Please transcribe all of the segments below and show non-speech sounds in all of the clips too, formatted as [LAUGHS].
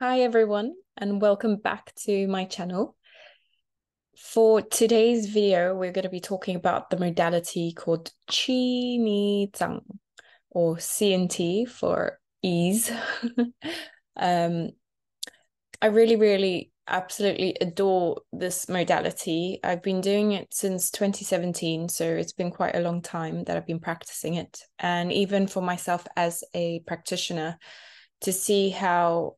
Hi everyone and welcome back to my channel. For today's video, we're going to be talking about the modality called Qi Ni Zhang or CNT for ease. [LAUGHS] Um, I really, really absolutely adore this modality. I've been doing it since 2017, so it's been quite a long time that I've been practicing it and even for myself as a practitioner to see how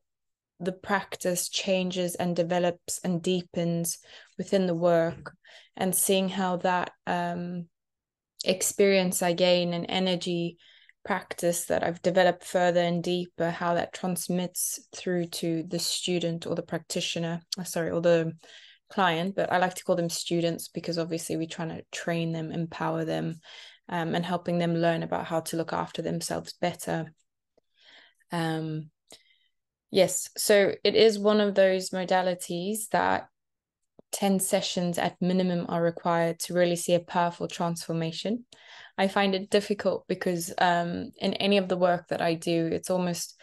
the practice changes and develops and deepens within the work and seeing how that um, experience I gain and energy practice that I've developed further and deeper, how that transmits through to the student or the practitioner, uh, sorry, or the client, but I like to call them students because obviously we're trying to train them, empower them, um, and helping them learn about how to look after themselves better. Um, yes, so it is one of those modalities that 10 sessions at minimum are required to really see a powerful transformation. I find it difficult because um, in any of the work that I do, it's almost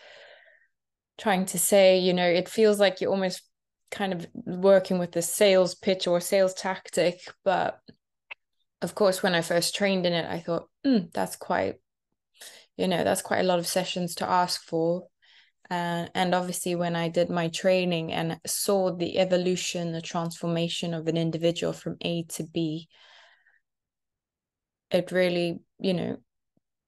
trying to say, you know, it feels like you're almost kind of working with the sales pitch or sales tactic. But of course, when I first trained in it, I thought, mm, that's quite, you know, that's quite a lot of sessions to ask for. Uh, and obviously, when I did my training and saw the evolution, the transformation of an individual from A to B, it really, you know,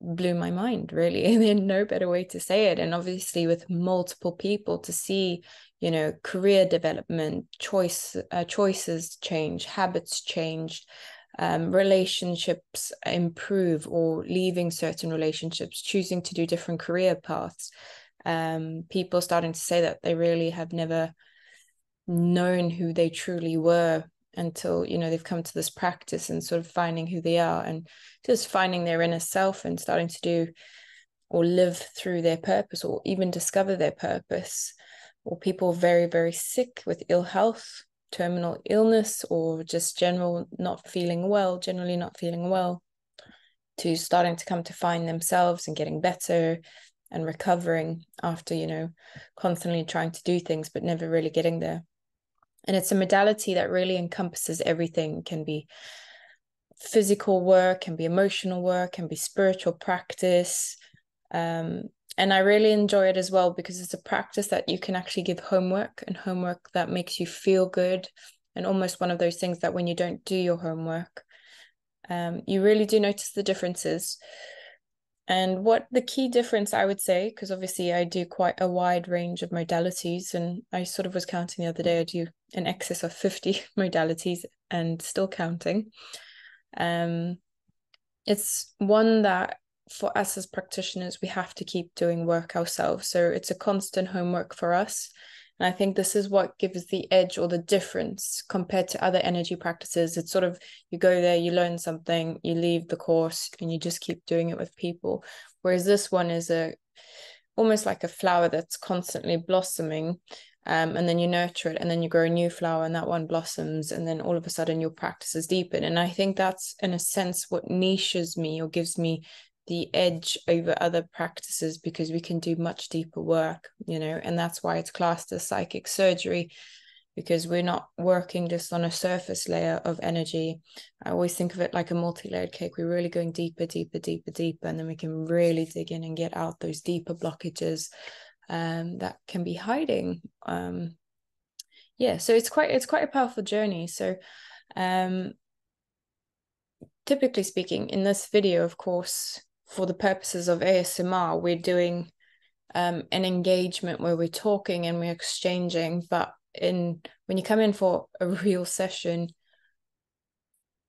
blew my mind, really. [LAUGHS] There's no better way to say it. And obviously, with multiple people to see you know career development choice uh, choices change habits change um, relationships improve or leaving certain relationships choosing to do different career paths um, people starting to say that they really have never known who they truly were until you know they've come to this practice and sort of finding who they are and just finding their inner self and starting to do or live through their purpose or even discover their purpose, or people very, very sick with ill health, terminal illness, or just general not feeling well, generally not feeling well, to starting to come to find themselves and getting better and recovering after, you know, constantly trying to do things but never really getting there. And it's a modality that really encompasses everything, can be physical work, can be emotional work, can be spiritual practice. Um, and I really enjoy it as well because it's a practice that you can actually give homework and homework that makes you feel good and almost one of those things that when you don't do your homework, um, you really do notice the differences. And what the key difference I would say, because obviously I do quite a wide range of modalities, and I sort of was counting the other day, I do an excess of 50 [LAUGHS] modalities and still counting. Um, it's one that for us as practitioners, we have to keep doing work ourselves. So it's a constant homework for us. And I think this is what gives the edge or the difference compared to other energy practices. It's sort of you go there, you learn something, you leave the course, and you just keep doing it with people. Whereas this one is a almost like a flower that's constantly blossoming um, and then you nurture it and then you grow a new flower and that one blossoms and then all of a sudden your practices deepen and i think that's in a sense what niches me or gives me the edge over other practices because we can do much deeper work you know and that's why it's classed as psychic surgery because we're not working just on a surface layer of energy I always think of it like a multi-layered cake. We're really going deeper, deeper, deeper, deeper, and then we can really dig in and get out those deeper blockages um, that can be hiding. Um, yeah, so it's quite it's quite a powerful journey. So, um, typically speaking, in this video, of course, for the purposes of ASMR, we're doing an engagement where we're talking and we're exchanging. But in when you come in for a [LAUGHS] real session,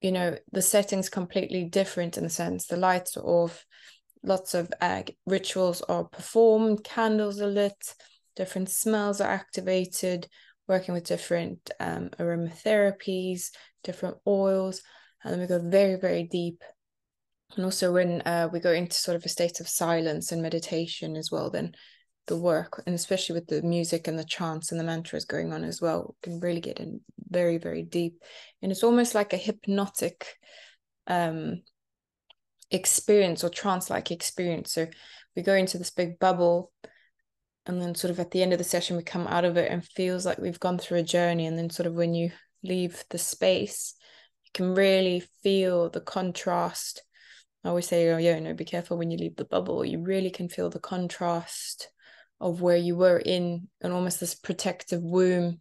you know the setting's completely different in the sense the lights are off lots of uh, rituals are performed candles are lit different smells are activated working with different um, aromatherapies different oils and then we go very very deep and also when uh, we go into sort of a state of silence and meditation as well then the work and especially with the music and the chants and the mantras going on as well can really get in very very deep and it's almost like a hypnotic um experience or trance like experience so we go into this big bubble and then sort of at the end of the session we come out of it and feels like we've gone through a journey and then sort of when you leave the space you can really feel the contrast I always say, oh yeah, no, be careful when you leave the bubble. You really can feel the contrast of where you were in an almost this protective womb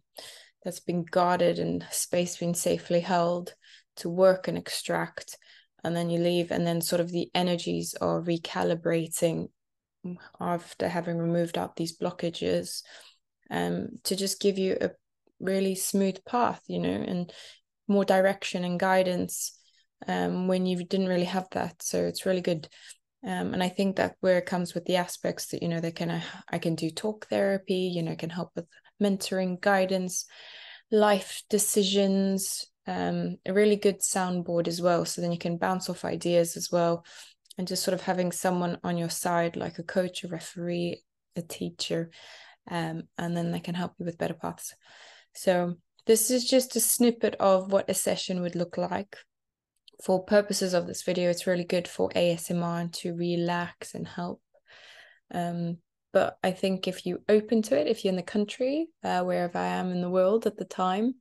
that's been guarded and space being safely held to work and extract and then you leave and then sort of the energies are recalibrating after having removed out these blockages um, to just give you a really smooth path you know and more direction and guidance um, when you didn't really have that. So it's really good. Um, and I think that where it comes with the aspects that, you know, they can, uh, I can do talk therapy, you know, can help with mentoring, guidance, life decisions, um, a really good soundboard as well. So then you can bounce off ideas as well. And just sort of having someone on your side, like a coach, a referee, a teacher, um, and then they can help you with better paths. So this is just a snippet of what a session would look like. For purposes of this video, it's really good for ASMR to relax and help. Um, but I think if you open to it, if you're in the country, uh, wherever I am in the world at the time,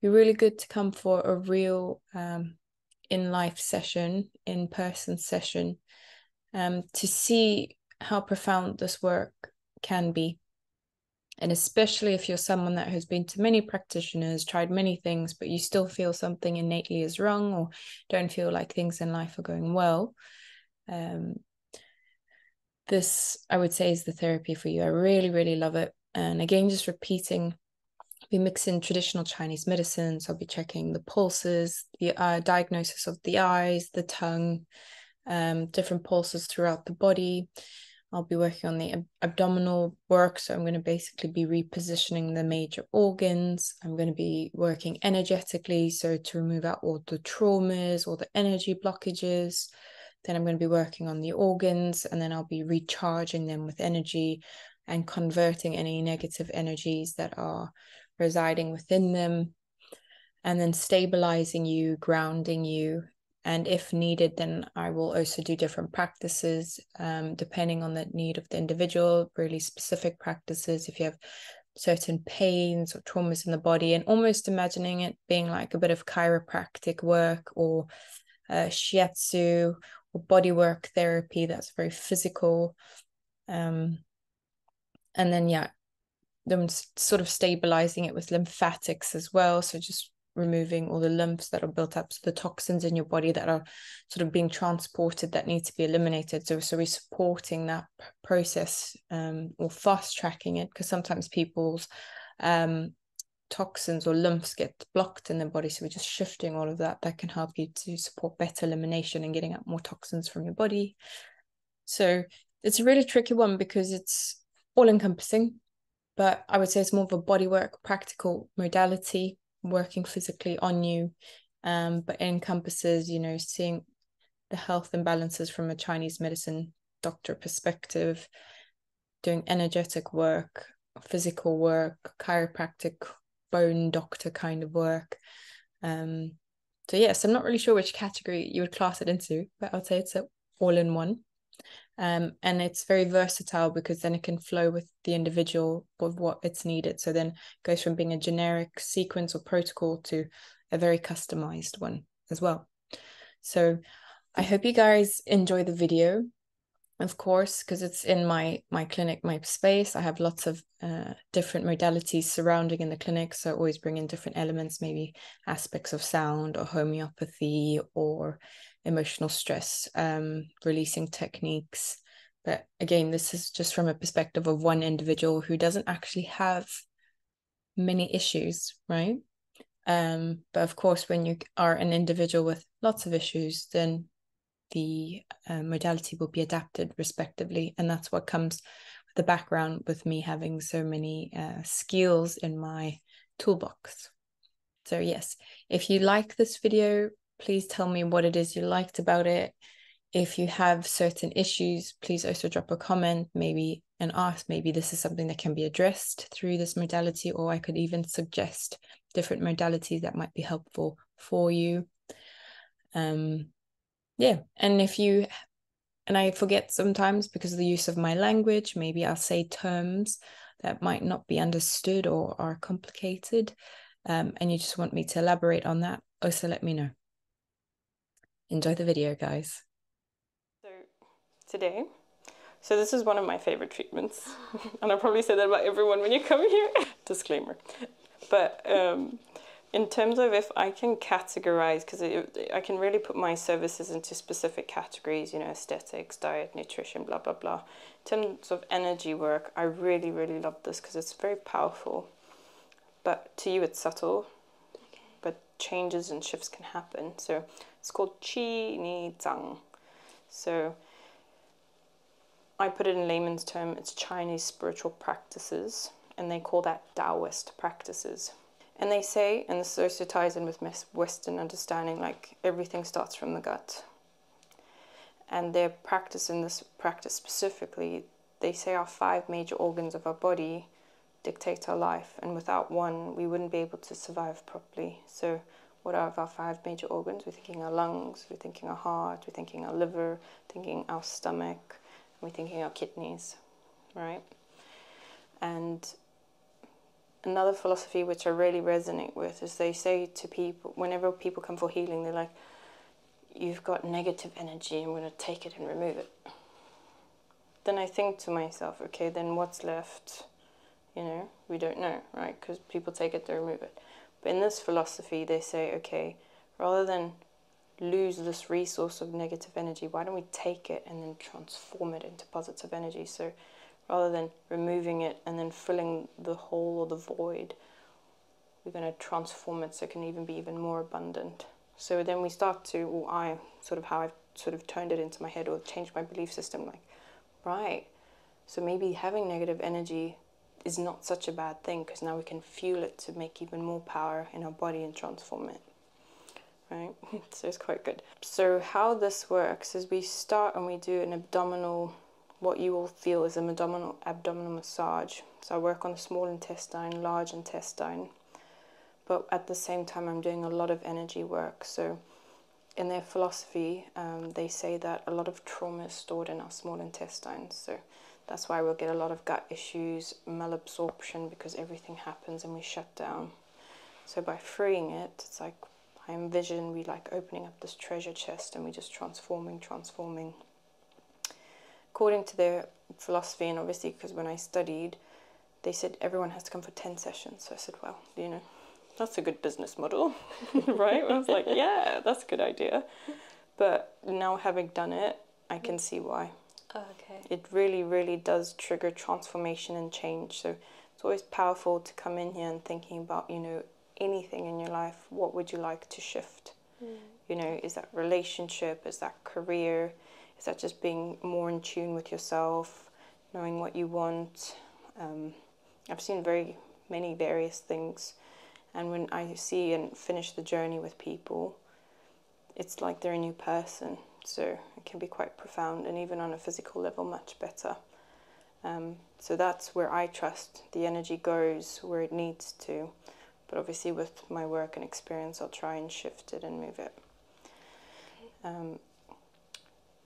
you're really good to come for a real um, in life session, in person session, um, to see how profound this work can be and especially if you're someone that has been to many practitioners, tried many things, but you still feel something innately is wrong or don't feel like things in life are going well, um, this I would say is the therapy for you. I really, really love it. And again, just repeating, we mix in traditional Chinese medicine. So I'll be checking the pulses, the uh, diagnosis of the eyes, the tongue, um, different pulses throughout the body. I'll be working on the abdominal work. So I'm going to basically be repositioning the major organs. I'm going to be working energetically. So to remove out all the traumas, all the energy blockages. Then I'm going to be working on the organs and then I'll be recharging them with energy and converting any negative energies that are residing within them. And then stabilizing you, grounding you, and if needed then i will also do different practices um, depending on the need of the individual really specific practices if you have certain pains or traumas in the body and almost imagining it being like a bit of chiropractic work or uh, shiatsu or bodywork therapy that's very physical um, and then yeah them sort of stabilizing it with lymphatics as well. So just removing all the lumps that are built up, so the toxins in your body that are sort of being transported that need to be eliminated. So, so we're supporting that process um, or fast tracking it because sometimes people's um, toxins or lumps get blocked in their body. So we're just shifting all of that. That can help you to support better elimination and getting out more toxins from your body. So it's a really tricky one because it's all encompassing but I would say it's more of a bodywork practical modality, working physically on you, um, but encompasses, you know, seeing the health imbalances from a Chinese medicine doctor perspective, doing energetic work, physical work, chiropractic, bone doctor kind of work. Um, so yes, I'm not really sure which category you would class it into, but I'd say it's a all in one. Um, and it's very versatile because then it can flow with the individual with what it's needed. So then goes from being a generic sequence or protocol to a very customized one as well. So I hope you guys enjoy the video, of course, because it's in my my clinic, my space. I have lots of uh, different modalities surrounding in the clinic, so always bring in different elements, maybe aspects of sound or homeopathy or emotional stress um, releasing techniques. But again, this is just from a perspective of one individual who doesn't actually have many issues, right? Um, but of course, when you are an individual with lots of issues, then the uh, modality will be adapted respectively. And that's what comes the background with me having so many uh, skills in my toolbox. So yes, if you like this video, please tell me what it is you liked about it. If you have certain issues, please also drop a comment, maybe and ask maybe this is something that can be addressed through this modality, or I could even suggest different modalities that might be helpful for you. Um, yeah, and if you and I forget sometimes because of the use of my language. Maybe I'll say terms that might not be understood or are complicated, um, and you just want me to elaborate on that. Also, let me know. Enjoy the video, guys. So, today, so this is one of my favorite treatments, [LAUGHS] and I probably say that about everyone when you come here. [LAUGHS] Disclaimer. But um, in terms of if I can categorize, because I can really put my services into specific categories, you know, aesthetics, diet, nutrition, blah, blah, blah. In terms of energy work, I really, really love this because it's very powerful. But to you, it's subtle, but changes and shifts can happen. So it's called Qi Ni Zhang. So I put it in layman's term, it's Chinese spiritual practices, and they call that Daoist practices. And they say, and this also ties in with Western understanding, like everything starts from the gut. And their practice in this practice specifically, they say our five major organs of our body dictate our life, and without one, we wouldn't be able to survive properly. So, what are our five major organs? We're thinking our lungs, we're thinking our heart, we're thinking our liver, thinking our stomach, we're thinking our kidneys, right? And another philosophy which I really resonate with is they say to people, whenever people come for healing, they're like, You've got negative energy, I'm going to take it and remove it. Then I think to myself, Okay, then what's left? You know, we don't know, right? Because people take it, to remove it. But in this philosophy, they say, Okay, rather than lose this resource of negative energy, why don't we take it and then transform it into deposits of energy. So rather than removing it and then filling the hole or the void, we're going to transform it so it can even be even more abundant. So then we start to, or I sort of how I've sort of turned it into my head or changed my belief system like, right, so maybe having negative energy is not such a bad thing because now we can fuel it to make even more power in our body and transform it right? [LAUGHS] so it's quite good. So how this works is we start and we do an abdominal, what you will feel is an abdominal, abdominal massage. So I work on the small intestine, large intestine, but at the same time I'm doing a lot of energy work. So in their philosophy, um, they say that a lot of trauma is stored in our small intestines. So that's why we'll get a lot of gut issues, malabsorption, because everything happens and we shut down. So by freeing it, it's like I envision we like opening up this treasure chest and we just transforming, transforming. According to their philosophy, and obviously because when I studied, they said everyone has to come for 10 sessions. So I said, well, you know, that's a good business model, [LAUGHS] right? I was like, yeah, that's a good idea. But now having done it, I can see why. okay. It really, really does trigger transformation and change. So it's always powerful to come in here and thinking about you know anything in your life what would you like to shift mm. you know is that relationship is that career is that just being more in tune with yourself knowing what you want um, i've seen very many various things and when i see and finish the journey with people it's like they're a new person so it can be quite profound and even on a physical level much better um, so that's where i trust the energy goes where it needs to but obviously with my work and experience i'll try and shift it and move it um,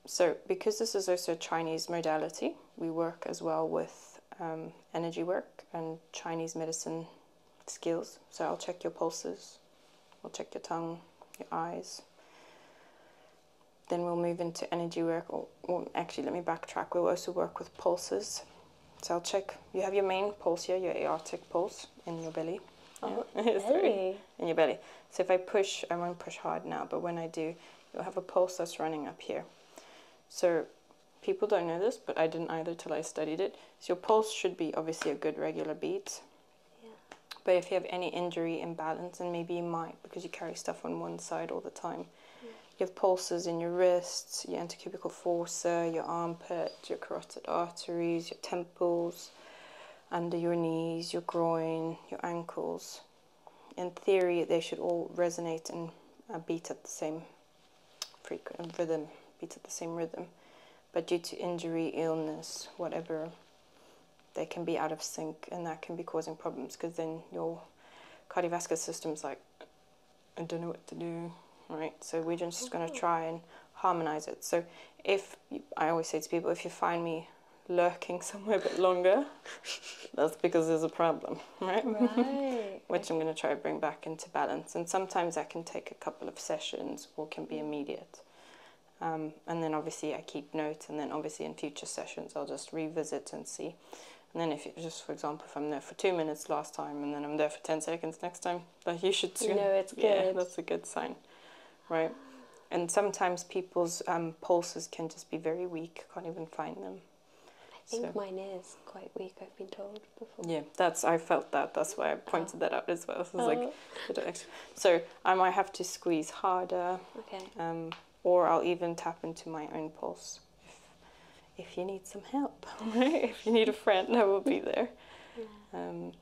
so because this is also a chinese modality we work as well with um, energy work and chinese medicine skills so i'll check your pulses We'll check your tongue, your eyes. Then we'll move into energy work, or, actually, let me backtrack. We'll also work with pulses. So I'll check. You have your main pulse here, your aortic pulse in your belly. Oh, belly. [LAUGHS] in your belly. So if I push, I won't push hard now, but when I do, you'll have a pulse that's running up here. So people don't know this, but I didn't either till I studied it. So your pulse should be obviously a good regular beat. But if you have any injury, imbalance, and maybe you might because you carry stuff on one side all the time, you have pulses in your wrists, your anticubical fossa, your armpit, your carotid arteries, your temples, under your knees, your groin, your ankles. In theory, they should all resonate and uh, beat at the same frequent rhythm, beat at the same rhythm but due to injury, illness, whatever, they can be out of sync and that can be causing problems because then your cardiovascular system's like, I don't know what to do, right? So we're just going to try and harmonize it. So if, I always say to people, if you find me lurking [LAUGHS] somewhere a bit longer, [LAUGHS] that's because there's a problem, right? right. [LAUGHS] Which I'm going to try to bring back into balance. And sometimes that can take a couple of sessions or can be mm. immediate. Um, and then obviously I keep notes and then obviously in future sessions I'll just revisit and see. And then if you, just for example, if I'm there for two minutes last time and then I'm there for 10 seconds next time, like you should soon. No, it's good. Yeah, that's a good sign, right? And sometimes people's um, pulses can just be very weak, can't even find them. I think mine is quite weak, I've been told before. Yeah, that's I felt that. That's why I pointed oh. that out as well. Oh. So oh. like, so I might have to squeeze harder. Um, or I'll even tap into my own pulse. If, you need some help, [LAUGHS] if you need a friend, I will be there. Um,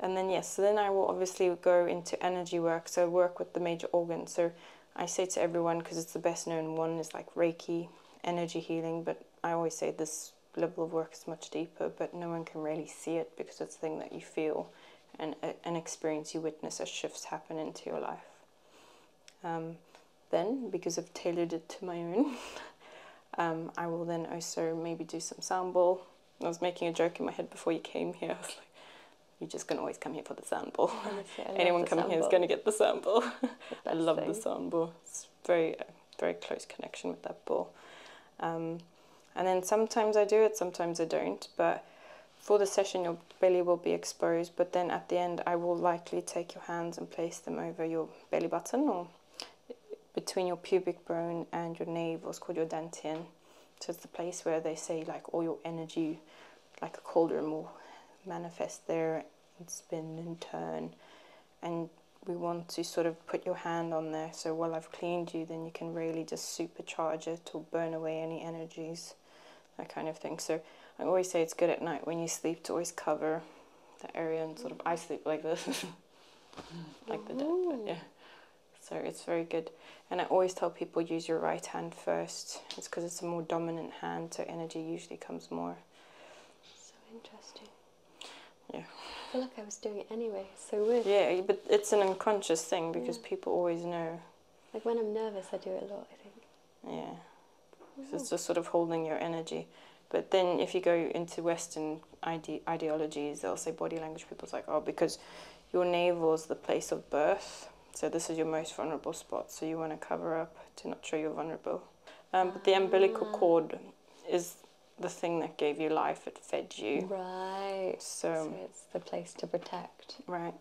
and then yes, then I will obviously go into energy work. So work with the major organs. So I say to everyone because it's the best known one is like Reiki, energy healing. But I always say this level of work is much deeper, but no one can really see it because it's a thing that you feel and uh, an experience you witness as shifts happen into your life. Um, then, because I've tailored it to my own, [LAUGHS] um, I will then also maybe do some soundball. I was making a joke in my head before you came here. [LAUGHS] I was like, you're just going to always come here for the soundball. [LAUGHS] Anyone coming here going to get the soundball. I love thing. the soundball. It's very, uh, very close connection with that ball. Um, and then sometimes I do it, sometimes I don't. But for the session, your belly will be exposed. But then at the end, I will likely take your hands and place them over your belly button or between your pubic bone and your navel. called your dantian. So it's the place where they say like all your energy, like a cauldron, more manifest there and spin and turn. And we want to sort of put your hand on there. So while I've cleaned you, then you can really just supercharge it magic to burn away any energies, that kind of thing. So I always say it's good at night when you sleep to always cover the area and sort of I sleep like this, [LAUGHS] like the dead. yeah. So it's very good. And I always tell people use your right hand first. It's because it's a more dominant hand, so energy usually comes more. So interesting. Yeah. I feel like I was doing it anyway so weird. Yeah, but it's an unconscious thing because people always know. Like when I'm nervous, I do it a lot, I think. Yeah. So it's just sort of holding your energy. But then if you go into Western ide ideologies, they'll say body language. People's like, oh, because your navel's the place of birth. So this is your most vulnerable spot. So you want to cover up to not show you're vulnerable. Um, but the umbilical ah. cord is the thing that gave you life. It fed you. Right. So, so the place to protect. Right.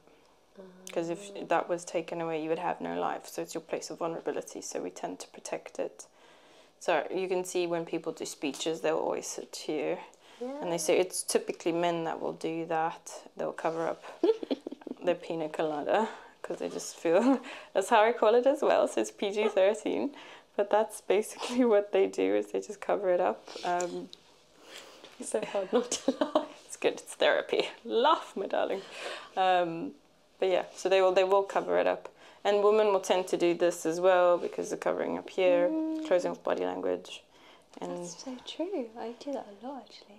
Because um, if that was taken away, you would have no life. So it's your place of vulnerability. So we tend to protect it. So you can see when people do speeches, they'll always sit here. And they say it's typically men that will do that. They'll cover up [LAUGHS] their pina because they just feel [LAUGHS] that's how I call it as well. So it's PG 13. But that's basically [LAUGHS] what they do is they just cover it up. Um, it's so hard not to [LAUGHS] laugh. It's good. It's therapy. Laugh, my darling. Um, but yeah, so they will they will cover it up, and women will tend to do this as well because they're covering up here, mm. closing off body language. And That's so true. I do that a lot actually.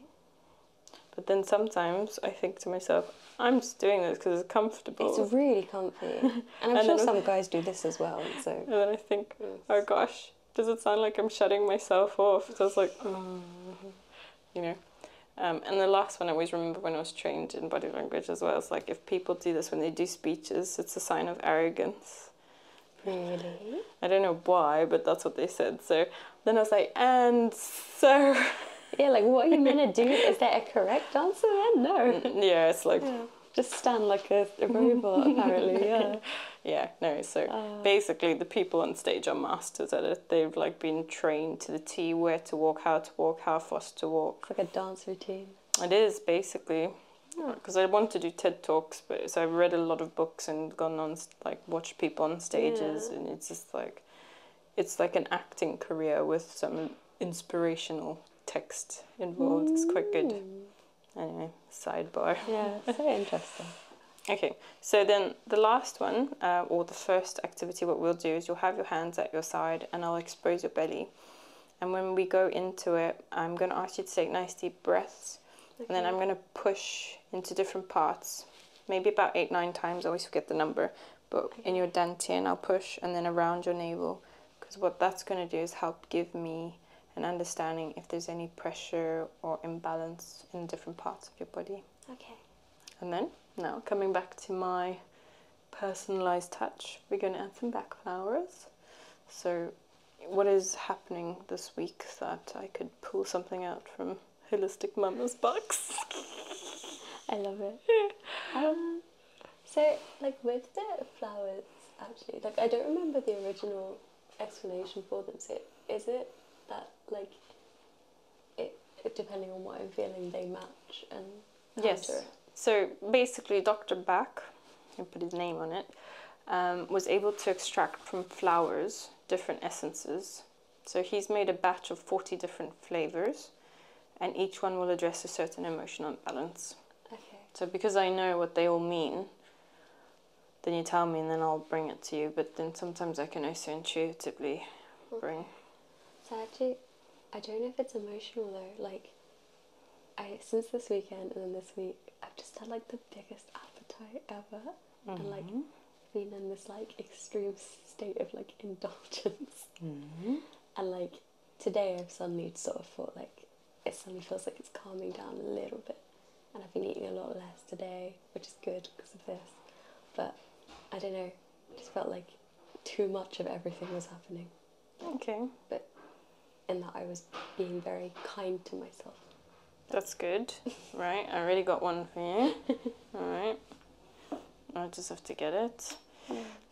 But then sometimes I think to myself, I'm just doing this because it's comfortable. It's really comfy. [LAUGHS] [LAUGHS] and I'm sure some guys do this as well. So. And then I think, oh gosh, does it sound like I'm shutting myself off? So I like, oh, you know. Um, and the last one I always remember when I was trained in body language as well. It's like if people do this when they do speeches, it's a sign of arrogance. Really? I don't know why, but that's what they said. So then I was like, and so. Yeah, like what are you going to do? Is [LAUGHS] that a correct answer then? No. Yeah, it's like just stand like a, [LAUGHS] robot apparently yeah yeah no so ah. basically the people on stage are masters at it they've like been trained to the t where to walk how to walk how fast to walk like a dance routine it is basically because i want to do ted talks but so i've read a lot of books and gone on like watched people on stages and it's just like it's like an acting career with some inspirational text involved it's quite good mm. Anyway, sidebar. Yeah, so interesting. Okay, so then the last one, uh, or the first activity, what we'll do is you'll have your hands at your side and I'll expose your belly. And when we go into it, I'm going to ask you to take nice deep breaths. And then I'm going to push into different parts, maybe about eight, nine times. I always forget the number. But in your dantian, I'll push and then around your navel because what that's going to do is help give me an understanding if there's any pressure or imbalance in different parts of your body. Okay. And then now coming back to my personalized touch, we're going to add some back flowers. So what is happening this week that I could pull something out from Holistic Mama's box? [LAUGHS] I love it. [LAUGHS] um, so like with the flowers, actually. Like, I don't remember the original explanation for them. So, is it that, like, it, depending on what I'm feeling, they match and yes. So, basically, Dr. Bach, I put his name on it, um, was able to extract from flowers different essences. So, he's made a batch of 40 different flavors, and each one will address a certain emotional balance. Okay. So because I know what they all mean, then you tell me and then I'll bring it to you. But then sometimes I can also intuitively okay. bring. So actually, I don't know if it's emotional though. Like, I since this weekend and then this week, I've just had like the biggest appetite ever, and like mm-hmm. been in this like extreme state of like indulgence. Mm-hmm. And like today, I've suddenly sort of felt like it suddenly feels like it's calming down a little bit. And I've been eating a lot less today, which is good because of this. But I don't know, just felt like too much of everything was happening. Okay. But in that I was being very kind to myself. That's good. [LAUGHS] right, I already got one for you. [LAUGHS] Alright. I just have to get it.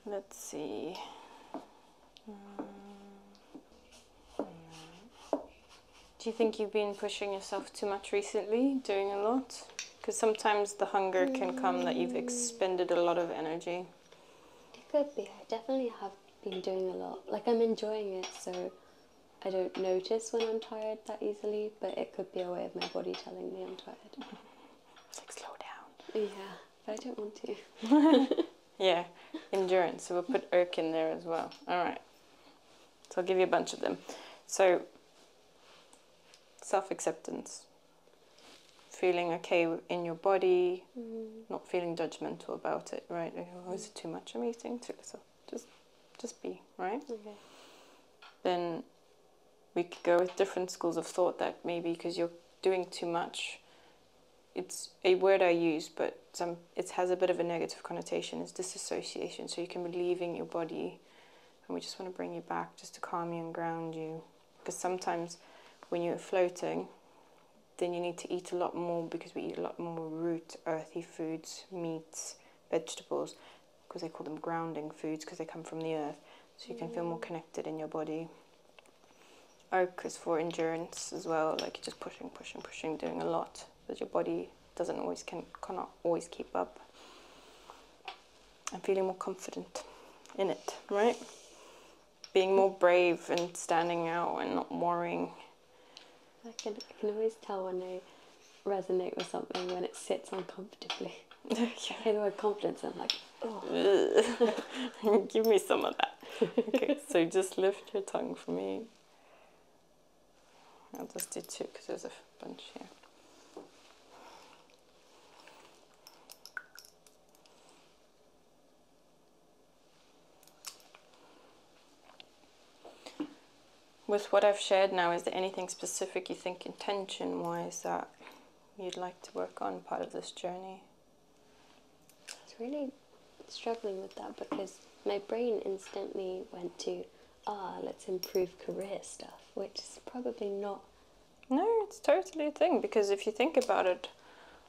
Let's see. Um, do you think you've been pushing yourself too much recently, doing a lot? Because sometimes the hunger can come that you've expended a lot of energy. It could be. I definitely have been doing a lot. Like I'm enjoying it, so I don't notice when I'm tired that easily, but it could be a way of my body telling me I'm tired. like slow down. Yeah, but I don't want to. [LAUGHS] Yeah, endurance. So we'll put oak in there as well. All right. So I'll give you a bunch of them. So self-acceptance, feeling okay in your body, mm. not feeling judgmental about it, right? Oh, is it too much I'm eating? Too little? Just, just be, right? Okay. Then we could go with different schools of thought that maybe because you're doing too much, it's a word I use, but some it has a bit of a negative connotation. It's disassociation. So you can be leaving your body, and we just want to bring you back just to calm you and ground you. Because sometimes when you're floating, then you need to eat a lot more because we eat a lot more root, earthy foods, meats, vegetables, because they call them grounding foods because they come from the earth. So you can feel more mm. connected in your body. Oak is for endurance as well, like just pushing, pushing, pushing, doing a lot that your body doesn't always can cannot always keep up. And feeling more confident in it, right? Being more brave and standing out and not worrying. I can always tell when I resonate with something when it sits uncomfortably. [LAUGHS] Okay. I confidence, I'm like, oh. [LAUGHS] Give me some of that. [LAUGHS] okay, so just lift your tongue for me. I'll just do two because there's a bunch here. With what I've shared now, is there anything specific you think intention wise that you'd like to work on part of this journey? I was really struggling with that because my brain instantly went to, ah, let's improve career stuff, which is probably not. No, it's totally a thing because if you think about it,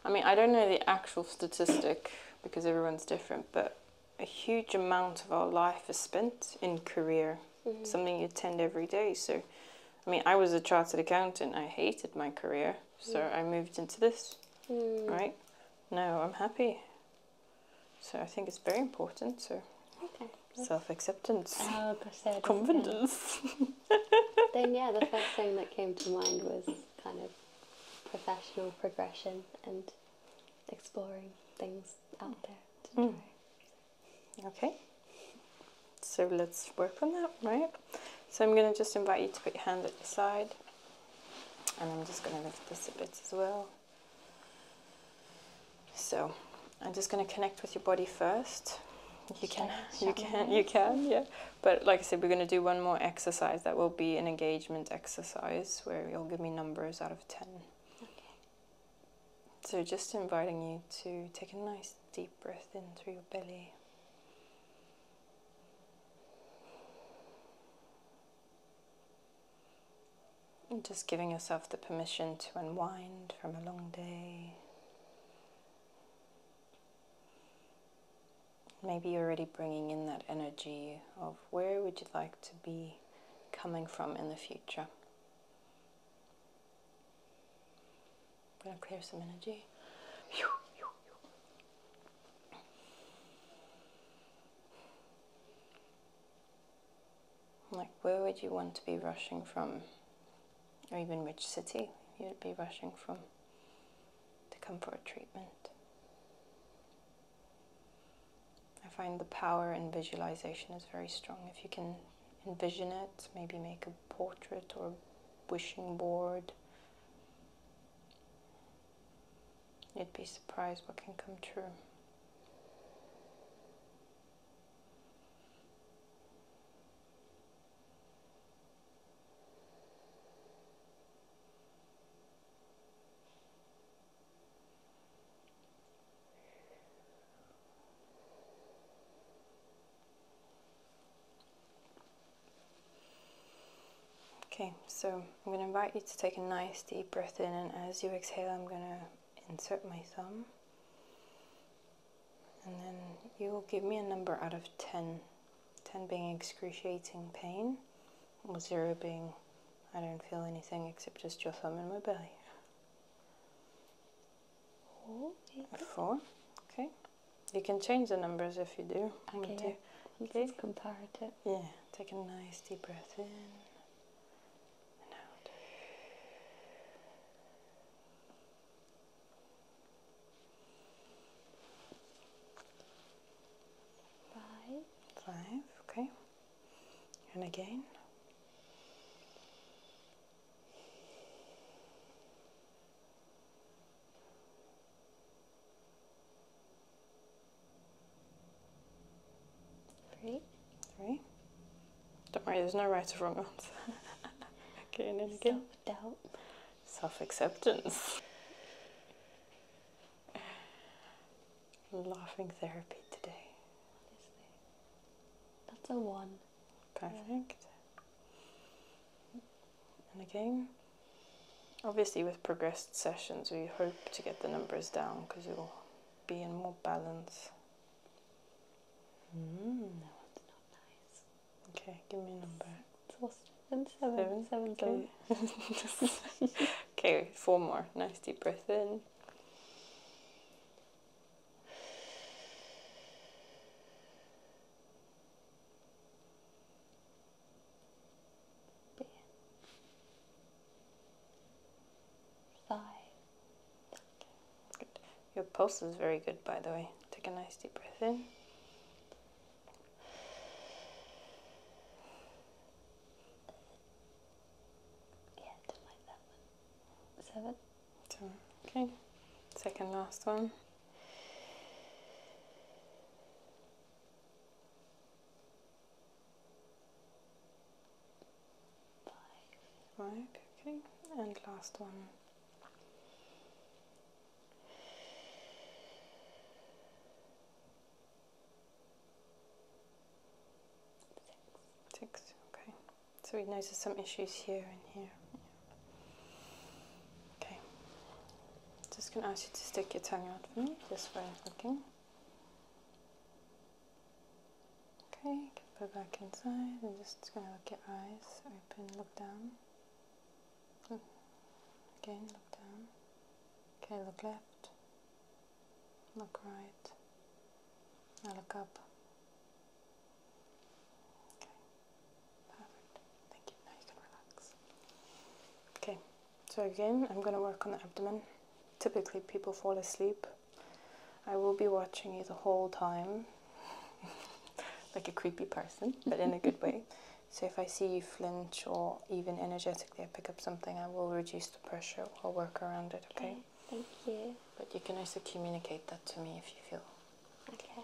I mean, I don't know the actual statistic because everyone's different, but a huge amount of our life is spent in career, mm-hmm. something you attend every day. So, I mean, I was a chartered accountant, I hated my career, so mm. I moved into this, mm. right? No, I'm happy. So I think it's very important. So okay. self-acceptance, confidence. [LAUGHS] then yeah, the first thing that came to mind was kind of professional progression and exploring things out there. Mm. Okay. So let's work on that, right? So I'm going to just invite you to put your hand at your side. And I'm just going to lift this a bit as well. So I'm just going to connect with your body first. You can, you can, you can, yeah. But like I said, we're going to do one more exercise. That will be an engagement exercise where you'll give me numbers out of 10. So just inviting you to take a nice deep breath in through your belly just giving yourself the permission to unwind from a long day. Maybe you're already bringing in that energy of where would you like to be coming from in the future. I'm going to clear some energy. Like, where would you want to be rushing from? Or even which city you'd be rushing from to come for a treatment? I find the power in visualization is very strong. If you can envision it, maybe make a portrait or a wishing board. You'd be surprised what can come true. Okay, so I'm going to invite you to take a nice deep breath in, and as you exhale, I'm going to insert my thumb. And then you will give me a number out of 10. 10 being excruciating pain, or 0 being I don't feel anything except just your thumb in my belly. Four. Okay. You can change the numbers if you do. Okay. okay. just Yeah. Take a nice deep breath in and out. Five. Five. Okay. And again. Three. Three. Don't worry, there's no right or wrong answer. [LAUGHS] again and again. Self doubt. Self acceptance. Laughing therapy today. That's a one. Perfect. And again, obviously with progressed sessions, we hope to get the numbers down because you'll be in more balance. Hmm, okay, give me a number. Seven, seven, seven, seven. [LAUGHS] okay, four more. Nice deep breath in bit, Good. Your pulse is very good, by the way. Take a nice deep breath in. Yeah, I not like that one. Seven. Seven. Okay. Second last one. Five. okay. And last one. Six. okay. So we notice some issues here and here. Okay. Just gonna ask you to stick your tongue out for me, just for looking. Okay, put it back inside and just gonna look your eyes open, look down. Look. Hmm. Again, look down. Okay, look left. Look right. Now look up. Okay, perfect. Thank you. Now you can relax. Okay. So again, I'm going to work on the abdomen. Typically people fall asleep. I will be watching you the whole time. [LAUGHS] like a creepy person, but in a good way. So if I see you flinch or even energetically I pick up something, I will reduce the pressure or work around it, okay? okay thank you. But you can also communicate that to me if you feel. Okay.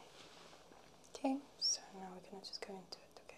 Okay, so now we're going to just go into it, okay?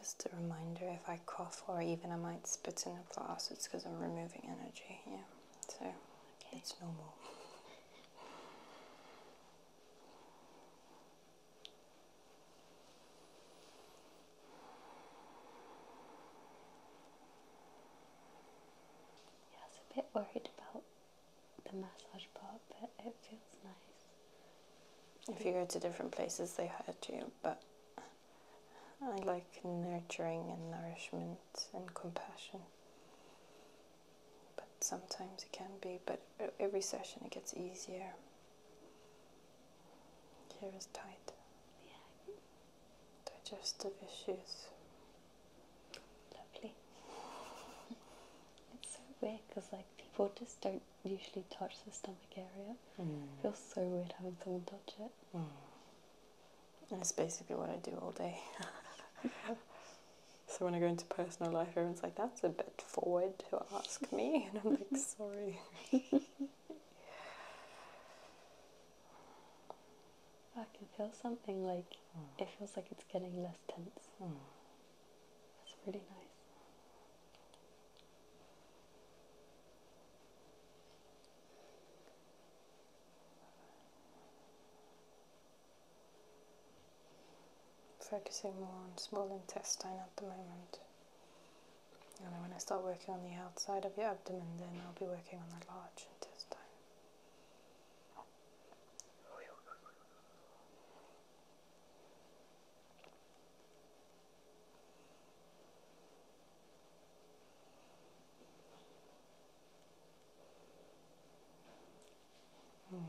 Just a reminder if I cough or even I might spit in the glass, it's because I'm removing energy. Yeah, so it's normal. Yeah, I was a bit worried about the massage part, but it feels nice. If you go to different places, they hurt you, but I like nurturing and nourishment and compassion. But sometimes it can be, but every session it gets easier. Here is tight. Yeah, digestive issues. Lovely. It's so weird because like people just don't usually touch the stomach area. Mm. It feels so weird having someone touch it. Mm. That's basically what I do all day. [LAUGHS] so when I go into personal life, everyone's like, "That's a bit forward to ask me," and I'm like, [LAUGHS] "Sorry." [LAUGHS] I can feel something like hmm. it feels like it's getting less tense. Hmm. That's really nice. Focusing more on small intestine at the moment. And then when I start working on the outside of your abdomen, then I'll be working on the large fortune this time. Mm.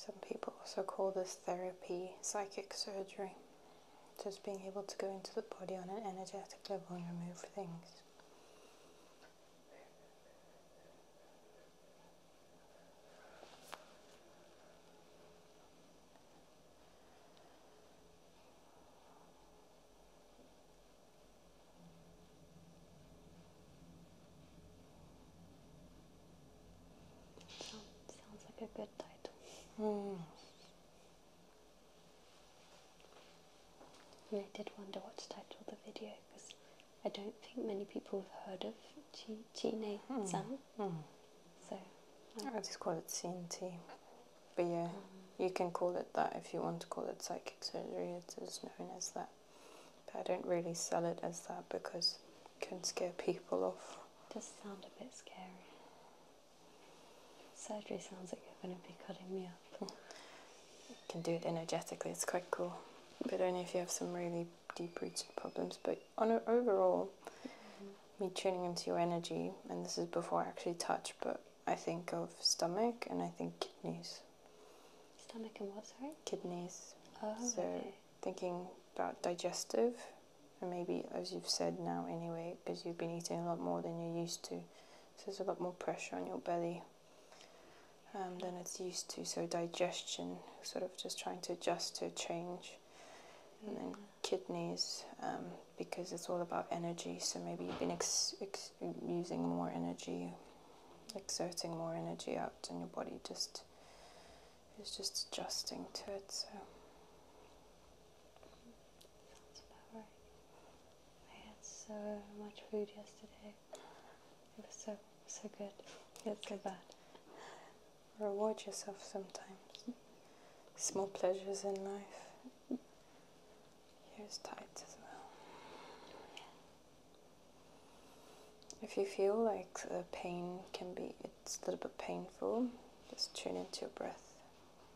Some people also call this therapy psychic surgery. Just being able to go into the body on an energetic level and remove things. Sounds like a good title. Hmm. I did wonder what to title the video because I don't think many people have heard of Chi mm. San. Mm. So um, I just call it CNT. But yeah, um, you can call it that if you want to call it psychic surgery. It is known as that. But I don't really sell it as that because it can scare people off. It does sound a bit scary. Surgery sounds like you're going to be cutting me up. you can do it energetically, it's quite cool. But only if you have some really deep rooted problems. But on overall, mm-hmm. me tuning into your energy, and this is before I actually touch, but I think of stomach and I think kidneys. Stomach and what, sorry? Kidneys. Oh, so thinking about digestive and maybe as you've said now anyway, because you've been eating a lot more than you're used to, so there's a lot more pressure on your belly um, than it's used to. So digestion, sort of just trying to adjust to change, and then kidneys um, because it's all about energy. So maybe you've been ex ex using more energy, exerting more energy out, and your body just is just adjusting to it. So. I had so much food yesterday. It was so so good. It's so bad. Reward yourself sometimes. Small pleasures in life. Here's tight as well. If you feel like the pain can be, it's a little bit painful, just tune into your breath.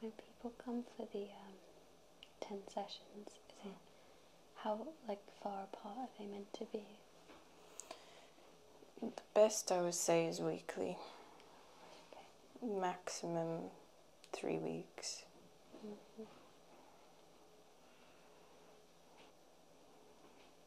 When people come for the um, 10 sessions, how like far apart are they meant to be? The best I would say is weekly. Maximum three weeks. Mm-hmm.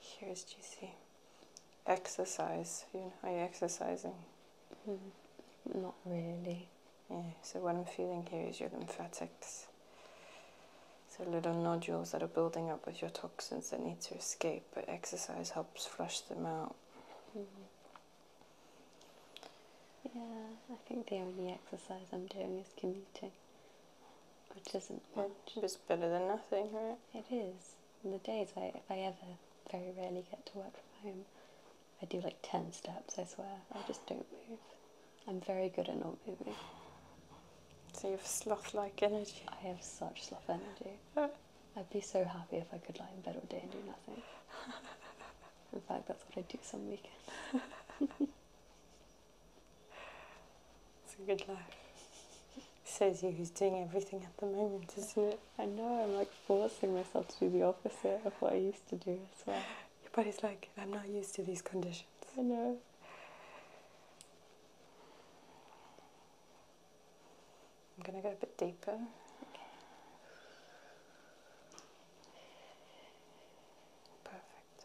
Here's GC. Exercise. You know, are you exercising? Hmm. not really. Yeah, so what I'm feeling here is your lymphatics. So little nodules that are building up with your toxins that need to escape, but exercise helps flush them out. Hmm. Yeah, I think the only exercise I'm doing is commuting, which isn't much. It's better than nothing, right? It is on the days I, if I ever very rarely get to work from home, I do like 10 steps, I swear. I just don't move. I'm very good at not moving. So you have sloth like energy. I have such sloth energy. [LAUGHS] I'd be so happy if I could lie in bed all day and do nothing. [LAUGHS] In fact, that's what I do some weekends. it's a good life. [LAUGHS] Says you who's doing everything at the moment, isn't it? I know, I'm like forcing myself to do the opposite of what I used to do as well. But body's like, I'm not used to these conditions. I know. I'm going to go a bit deeper. Perfect.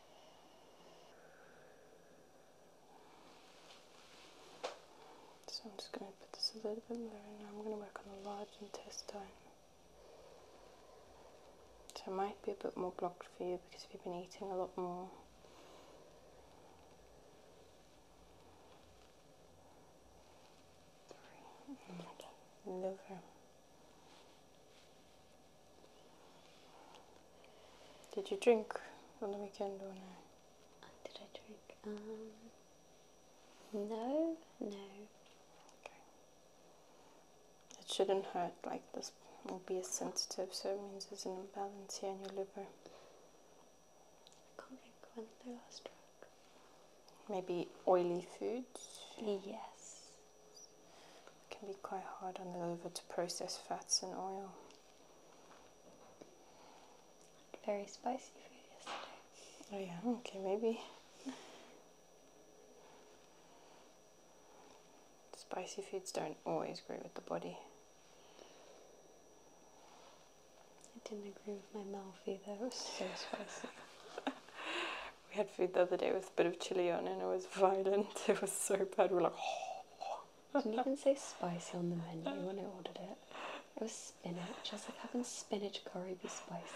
So I'm just going to put this a little bit lower and I'm going to work on the large intestine. So it might be a bit more blocked for you because you've been eating a lot more. Liver. Did you drink on the weekend or no? Did I drink? Um, no, no. Okay. It shouldn't hurt like this. Will be a sensitive, so it means there's an imbalance here in your liver. can't think when the last drug. Maybe oily foods. Yes. It can be quite hard on the liver to process fats and oil. Very spicy food yesterday. Oh yeah, okay, maybe. Spicy foods don't always agree with the body. I didn't agree with my mouth though. It was so spicy. [LAUGHS] we had food the other day with a bit of chili on and it was violent. [LAUGHS] It was so bad. We were like, didn't oh. even say spicy on the menu [LAUGHS] when I ordered it. It was spinach. I was like, how can spinach curry be spicy? [LAUGHS]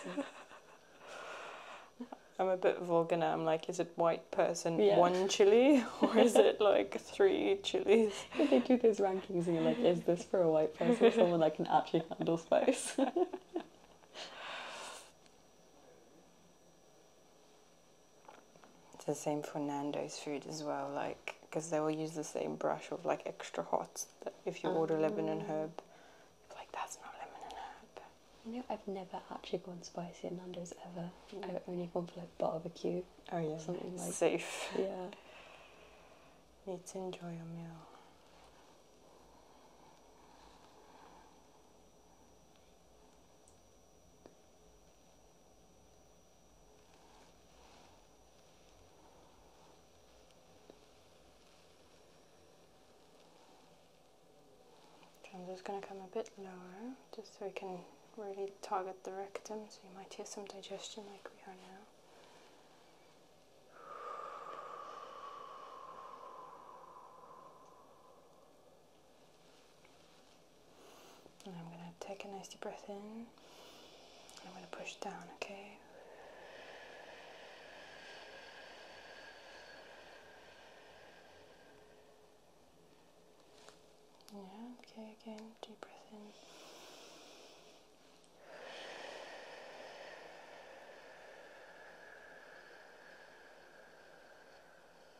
I'm a bit vulgar now. I'm like, is it white person one chili or is it like three chilies? If they do these rankings and you're like, is this for a white person, or someone that can actually handle spice? It's the same for Nando's food as well, like because they will use the same brush of like extra hot. If you order lemon and herb, like that's not lemon and herb. You know, I've never actually gone spicy in Nando's ever. Mm. I've only gone for like barbecue. Oh yeah, something like safe. [LAUGHS] Yeah. Need to enjoy your meal. I'm just going to come a bit lower just so we can really target the rectum so you might hear some digestion like we are now. And I'm going to take a nice deep breath in. I'm going to push down, okay? Yeah, okay, again, deep breath in.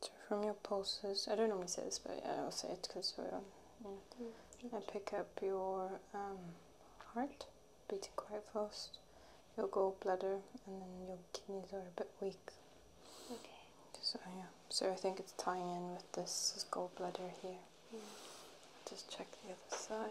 So from your pulses, I don't normally say this, but I'll say it because we're on. Yeah. I pick up your um, heart beating quite fast, your gallbladder, and then your kidneys are a bit weak. Okay. So yeah, so I think it's tying in with this gallbladder here. Just check the other side.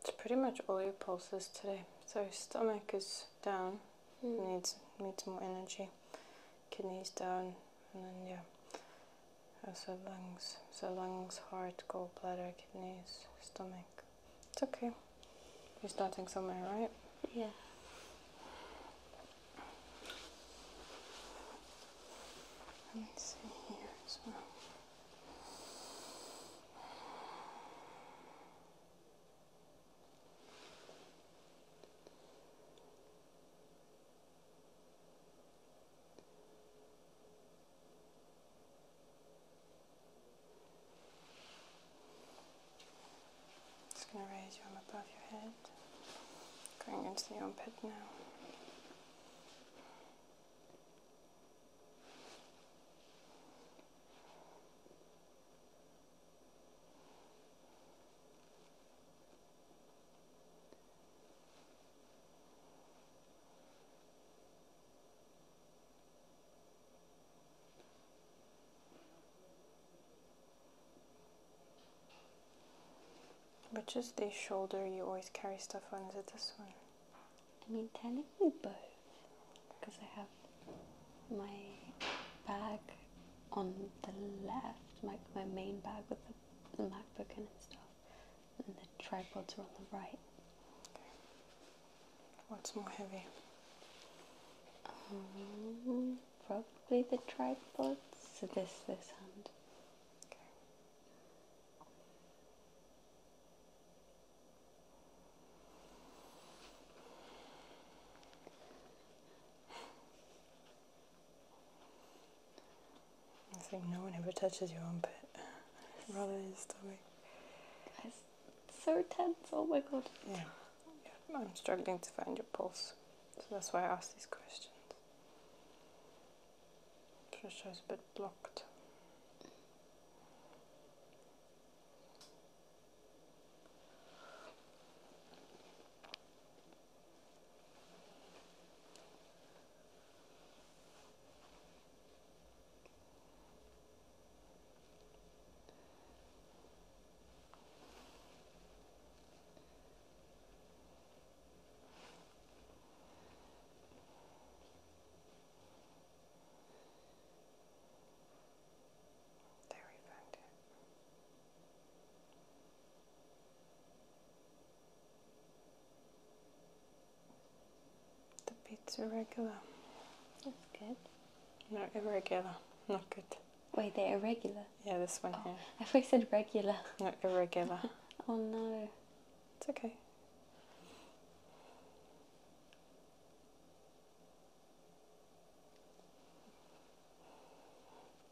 It's pretty much all your pulses today. So stomach is down, hmm. needs needs more energy kidneys down, and then yeah, also lungs. So lungs, heart, gallbladder, kidneys, stomach. It's okay. We're starting somewhere, right? Yeah. Let's see here as well. Just going to raise your arm above your head, going into the armpit now. But just the shoulder, you always carry stuff on. Is it this one? I mean, technically both, because I have my bag on the left, my, my main bag with the, the MacBook and stuff, and the tripods are on the right. What's more heavy? Um, probably the tripods. So this, this hand. Okay. I think no one ever touches your armpit rather than your stomach. It's so tense, oh my god. Yeah. yeah. I'm struggling to find your pulse. So that's why I ask these questions. Pressure is a bit blocked. There we found it. The bits are regular. That's good. No, irregular. Not good. Wait, they irregular? Yeah, this one oh, here. I thought you said regular. No, irregular. [LAUGHS] oh no. It's okay.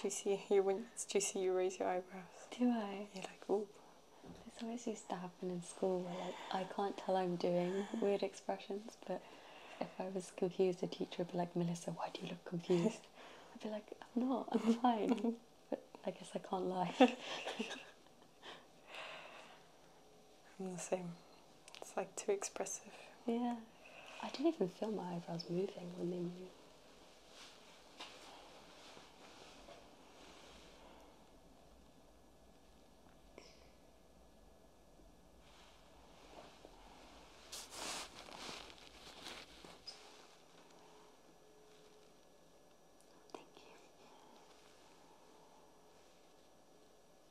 Do you see you when do you see you raise your eyebrows? Do I? You're like, oh. This always used to happen in school like I can't tell I'm doing [LAUGHS] weird expressions, but if I was confused the teacher would be like, Melissa, why do you look confused? [LAUGHS] I'd be like, I'm not, I'm fine. [LAUGHS] but I guess I can't lie. I'm the same. It's like too expressive. Yeah. I didn't even feel my eyebrows moving when they moved.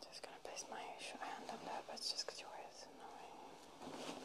Just gonna place my hand on that, but it's just because your hair is annoying.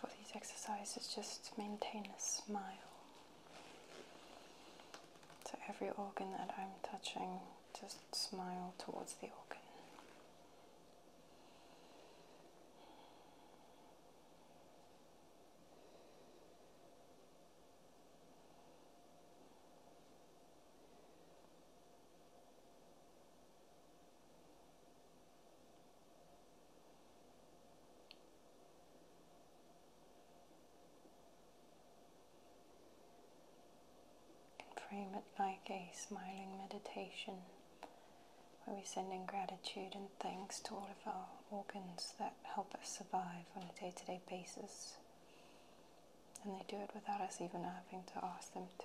for these exercises, just maintain a smile. So every organ that I'm touching, just smile towards the organ frame it like a smiling meditation where we send in gratitude and thanks to all of our organs that help us survive on a day to day basis. And they do it without us even having to ask them to.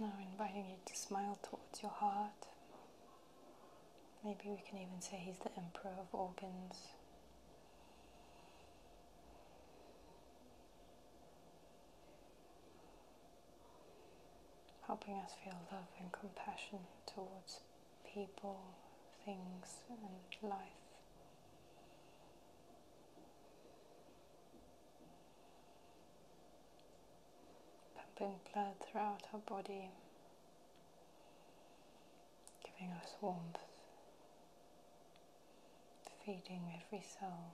Now, inviting you to smile towards your heart. Maybe we can even say he's the emperor of organs helping us feel love and compassion towards people, things, and life. Pumping blood throughout our body, giving us warmth, feeding every cell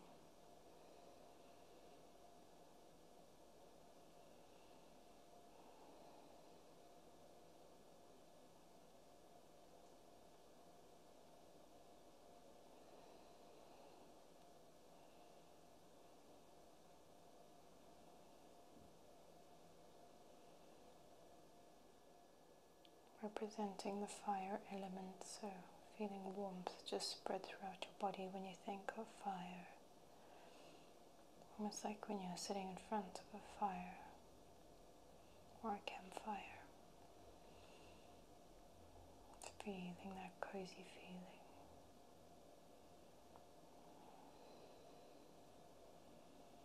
representing the fire element, so feeling warmth just spread throughout your body when you think of fire. Almost like when you're sitting in front of a fire or a campfire. Feeling that cozy feeling.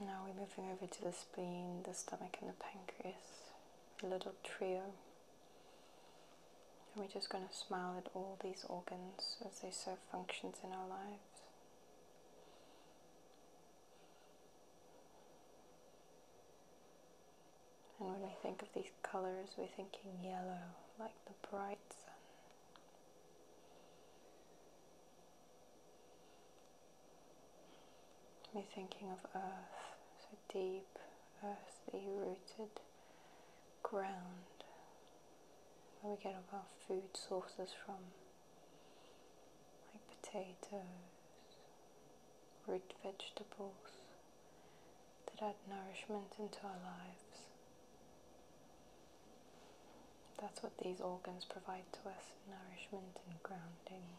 Now we're moving over to the spleen, the stomach, and the pancreas little trio. And we're just going to smile at all these organs as they serve functions in our lives. And when we think of these colors, we're thinking yellow, like the bright sun. Me thinking of earth, so deep, earthy rooted ground, where we get all our food sources from, like potatoes, root vegetables that add nourishment into our lives. That's what these organs provide to us nourishment and grounding.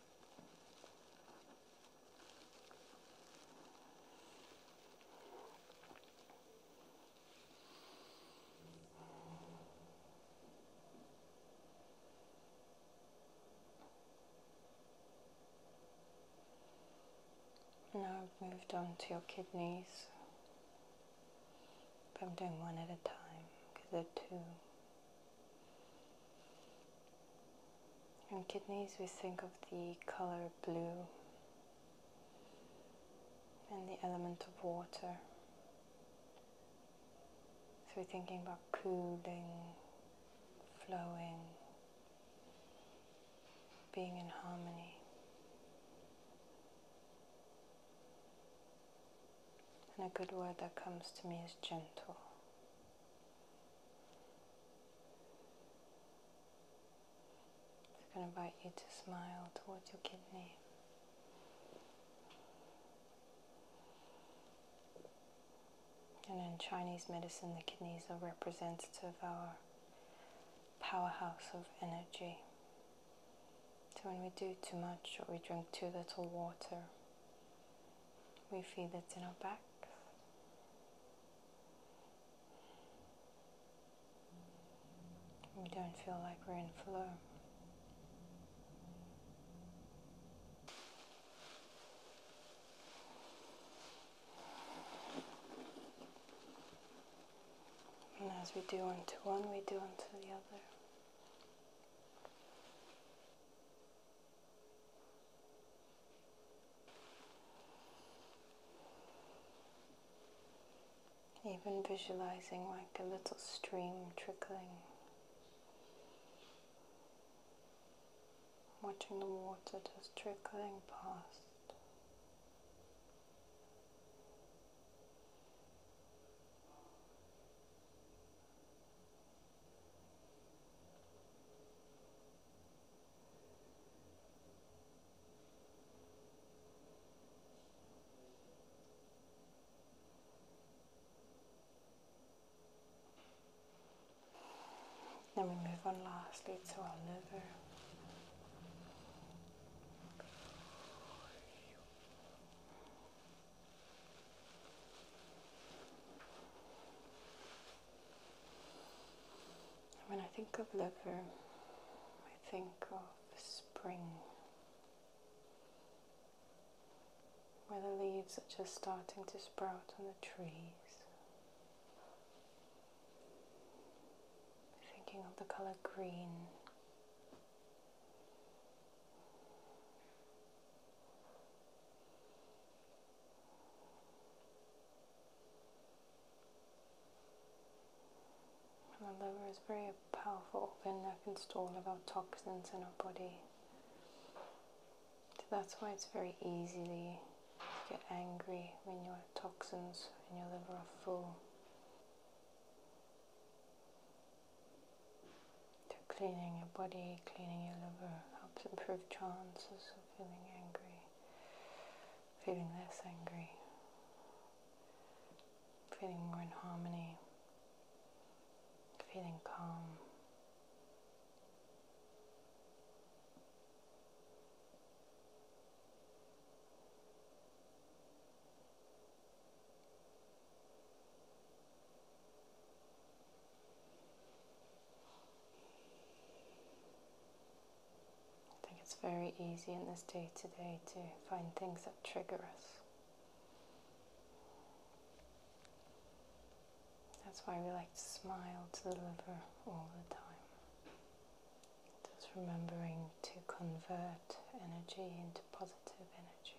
Now I've moved on to your kidneys, but I'm doing one at a time because they're two. In kidneys, we think of the color blue and the element of water. So we're thinking about cooling, flowing, being in harmony. And a good word that comes to me is gentle. I am going to invite you to smile towards your kidney. And in Chinese medicine, the kidneys are representative of our powerhouse of energy. So when we do too much or we drink too little water, we feel it in our back. We don't feel like we're in flow. And as we do onto one, we do onto the other. Even visualizing like a little stream trickling, watching the water just trickling past. Then we move on lastly to our liver. When I think of liver, I think of spring, where the leaves are just starting to sprout on the trees. Thinking of the color green, the liver is very powerful organ that can store all of toxins in our body. that's why it's very easily to get angry when your toxins in your liver are full to cleaning your body, cleaning your liver, helps improve chances of feeling angry, feeling less angry, feeling more in harmony, feeling calm. I think it's very easy in this day to day to find things that trigger us. That's why we like to smile to the liver all the time. Just remembering to convert energy into positive energy.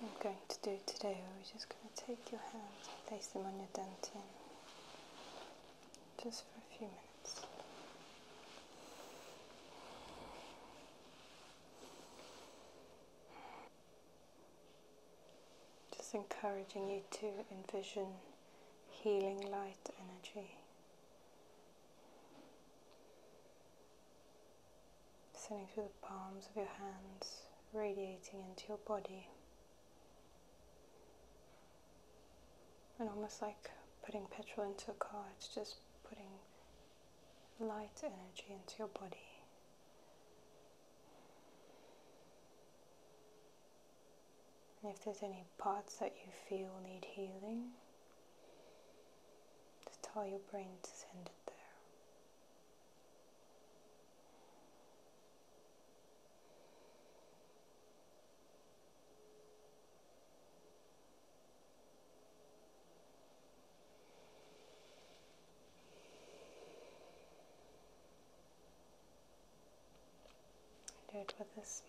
What I'm going to do today, we're just going to take your hands and place them on your dentin just for a few minutes. Just encouraging you to envision healing light energy. Sending through the palms of your hands, radiating into your body. And almost like putting petrol into a car, it's just putting light energy into your body. And if there's any parts that you feel need healing, just tell your brain to send it there. I do it with a smile.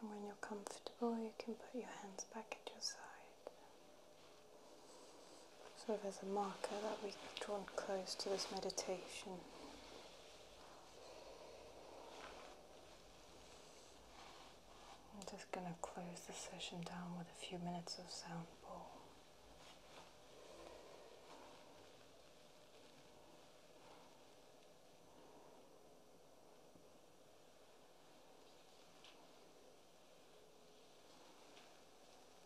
And when you're comfortable, you can put your hands back at your side. So there's a marker that we've drawn close to this meditation. I'm just going to close the session down with a few minutes of sound bowl.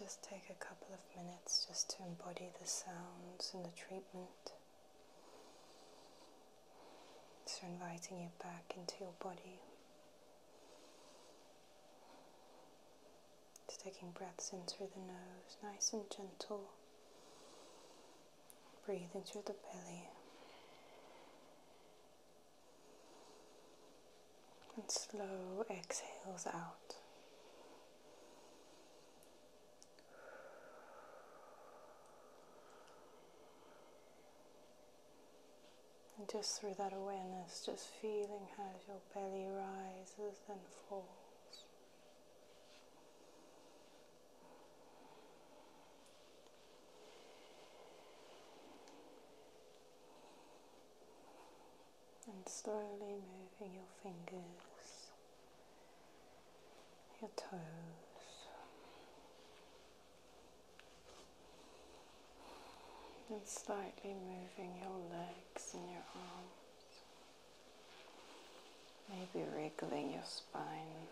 Just take a couple of minutes just to embody the sounds and the treatment. So, inviting you back into your body just taking breaths in through the nose, nice and gentle. Breathing through the belly. And slow exhales out. And just through that awareness, just feeling how your belly rises and falls. And slowly moving your fingers, your toes and slightly moving your legs and your arms, maybe wriggling your spine,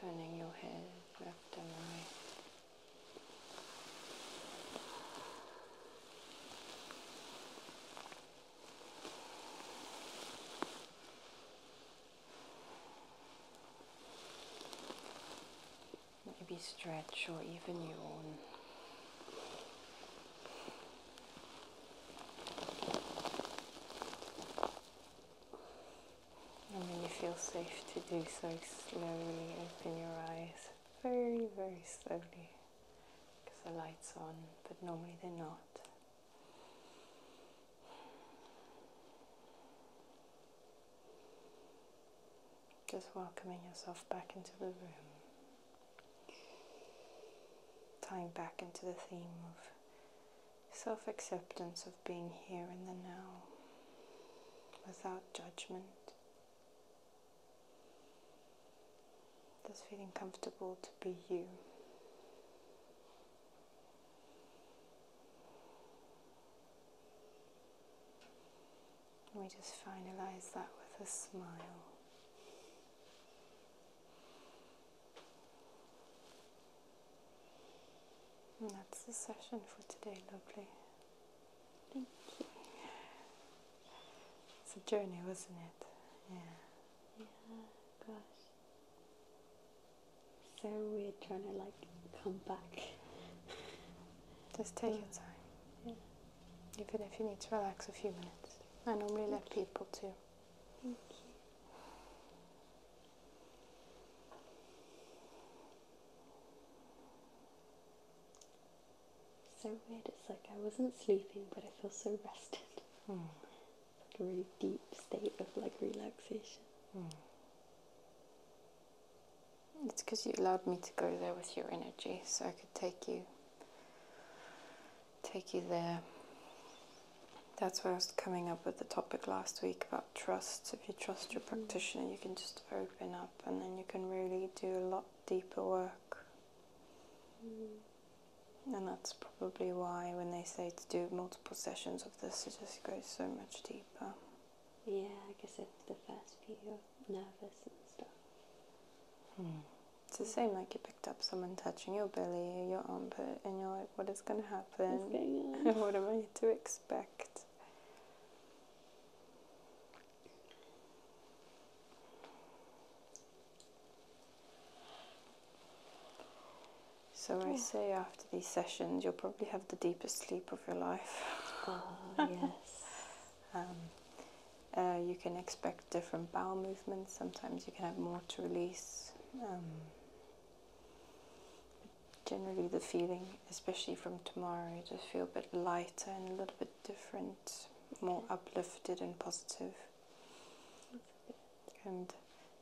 turning your head left and right. Maybe stretch or even your own, And then you feel safe to do so, slowly open your eyes very, very slowly because the light's on, but normally they're not. Just welcoming yourself back into the room. Tying back into the theme of self acceptance of being here in the now without judgment. Just feeling comfortable to be you we just finalize that with a smile. And that's the session for today, lovely. Thank you. It's a journey, wasn't it? Yeah. Yeah, gosh so weird trying to like come back. Just take your time. Yeah. Even if you need to relax a few minutes. I normally let people too. So weird, it's like I wasn't sleeping but I feel so rested. Mm. like a really deep state of like relaxation. Mm. It's because you allowed me to go there with your energy, so I could take you take you there. That's where I was coming up with the topic last week about trust. If you trust your mm-hmm. practitioner, you can just open up and then you can really do a lot deeper work. Mm-hmm. And that's probably why when they say to do multiple sessions of this, it just goes so much deeper. Yeah, I guess it's the first few you're nervous and stuff. Hmm. It's the same like you picked up someone touching your belly, your armpit, and you're like, what is going to [LAUGHS] happen? what am I to expect? So I oh. say after these sessions, you'll probably have the deepest sleep of your life. Oh, [LAUGHS] yes. Um, uh, you can expect different bowel movements. Sometimes you can have more to release. Um, generally, the feeling, especially from tomorrow, you just feel a bit lighter and a little bit different, more uplifted and positive. And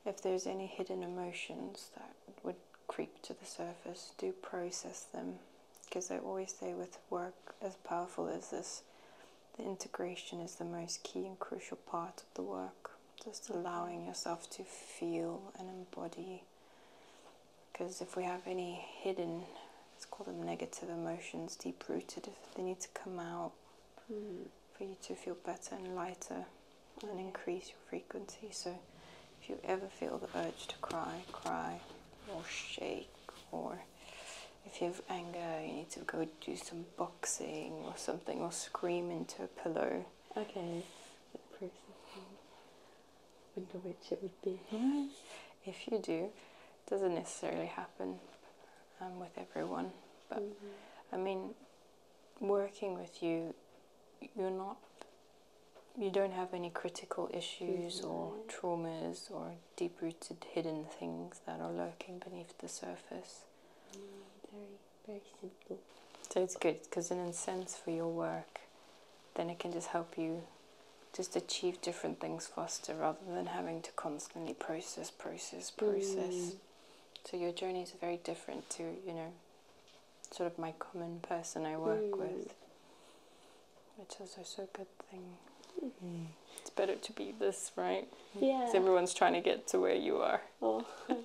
if there's any hidden emotions that would creep to the surface, do process them. Because I always say with work as powerful as this, the integration is the most key and crucial part of the work. Just allowing yourself to feel and embody. Because if we have any hidden, let's call them negative emotions, deep rooted, if they need to come out mm. for you to feel better and lighter and increase your frequency. So if you ever feel the urge to cry, cry or shake, or if you have anger, you need to go do some boxing or something, or scream into a pillow. Okay, the processing. Wonder which it would be. Yeah. [LAUGHS] If you do, it doesn't necessarily happen um, with everyone, but mm-hmm. I mean, working with you, you're not you don't have any critical issues or mm-hmm. traumas or deep rooted hidden things that are lurking beneath the surface. Mm, very, very simple. So it's good because, in a sense, for your work, then it can just help you just achieve different things faster rather than having to constantly process, process, process. Mm. So your journey is very different to, you know, sort of my common person I work hmm. with, which is also a good thing. Hmm. It's better to be this, right? Yeah. Because everyone's trying to get to where you are. [LAUGHS] Oh. [LAUGHS]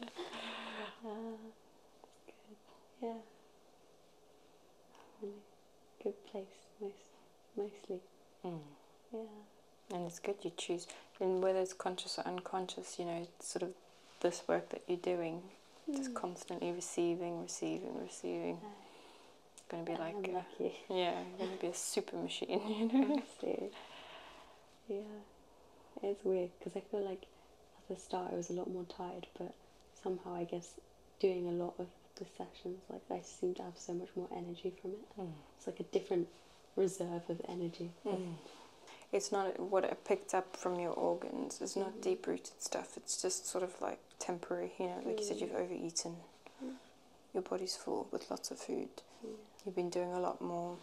Ah, good. Yeah. good place, most, mostly. Hmm. Yeah. And it's good you choose, and whether it's conscious or unconscious, you know, sort of this work that you're doing Mm. Just hmm. constantly receiving, receiving, receiving. It's going to be like, a, yeah, going to be a super machine, [LAUGHS] you know. Yeah, it's weird because I feel like at the start I was a lot more tired, but somehow I guess doing a lot of the sessions, like I seem to have so much more energy from it. Hmm. It's like a different reserve of energy. Hmm it's not what I picked up from your organs. It's not mm-hmm. deep rooted stuff. It's just sort of like temporary, you know, like you said, you've mm. over eaten. Mm. Your body's full with lots of food. You've been doing a lot more,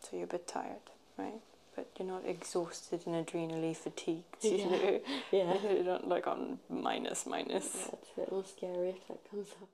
so you're a bit tired, right? But you're not exhausted and adrenally fatigued, you yeah. know? [LAUGHS] [LAUGHS] Yeah. you're not like on minus, minus. That's it's a little scary if that comes up.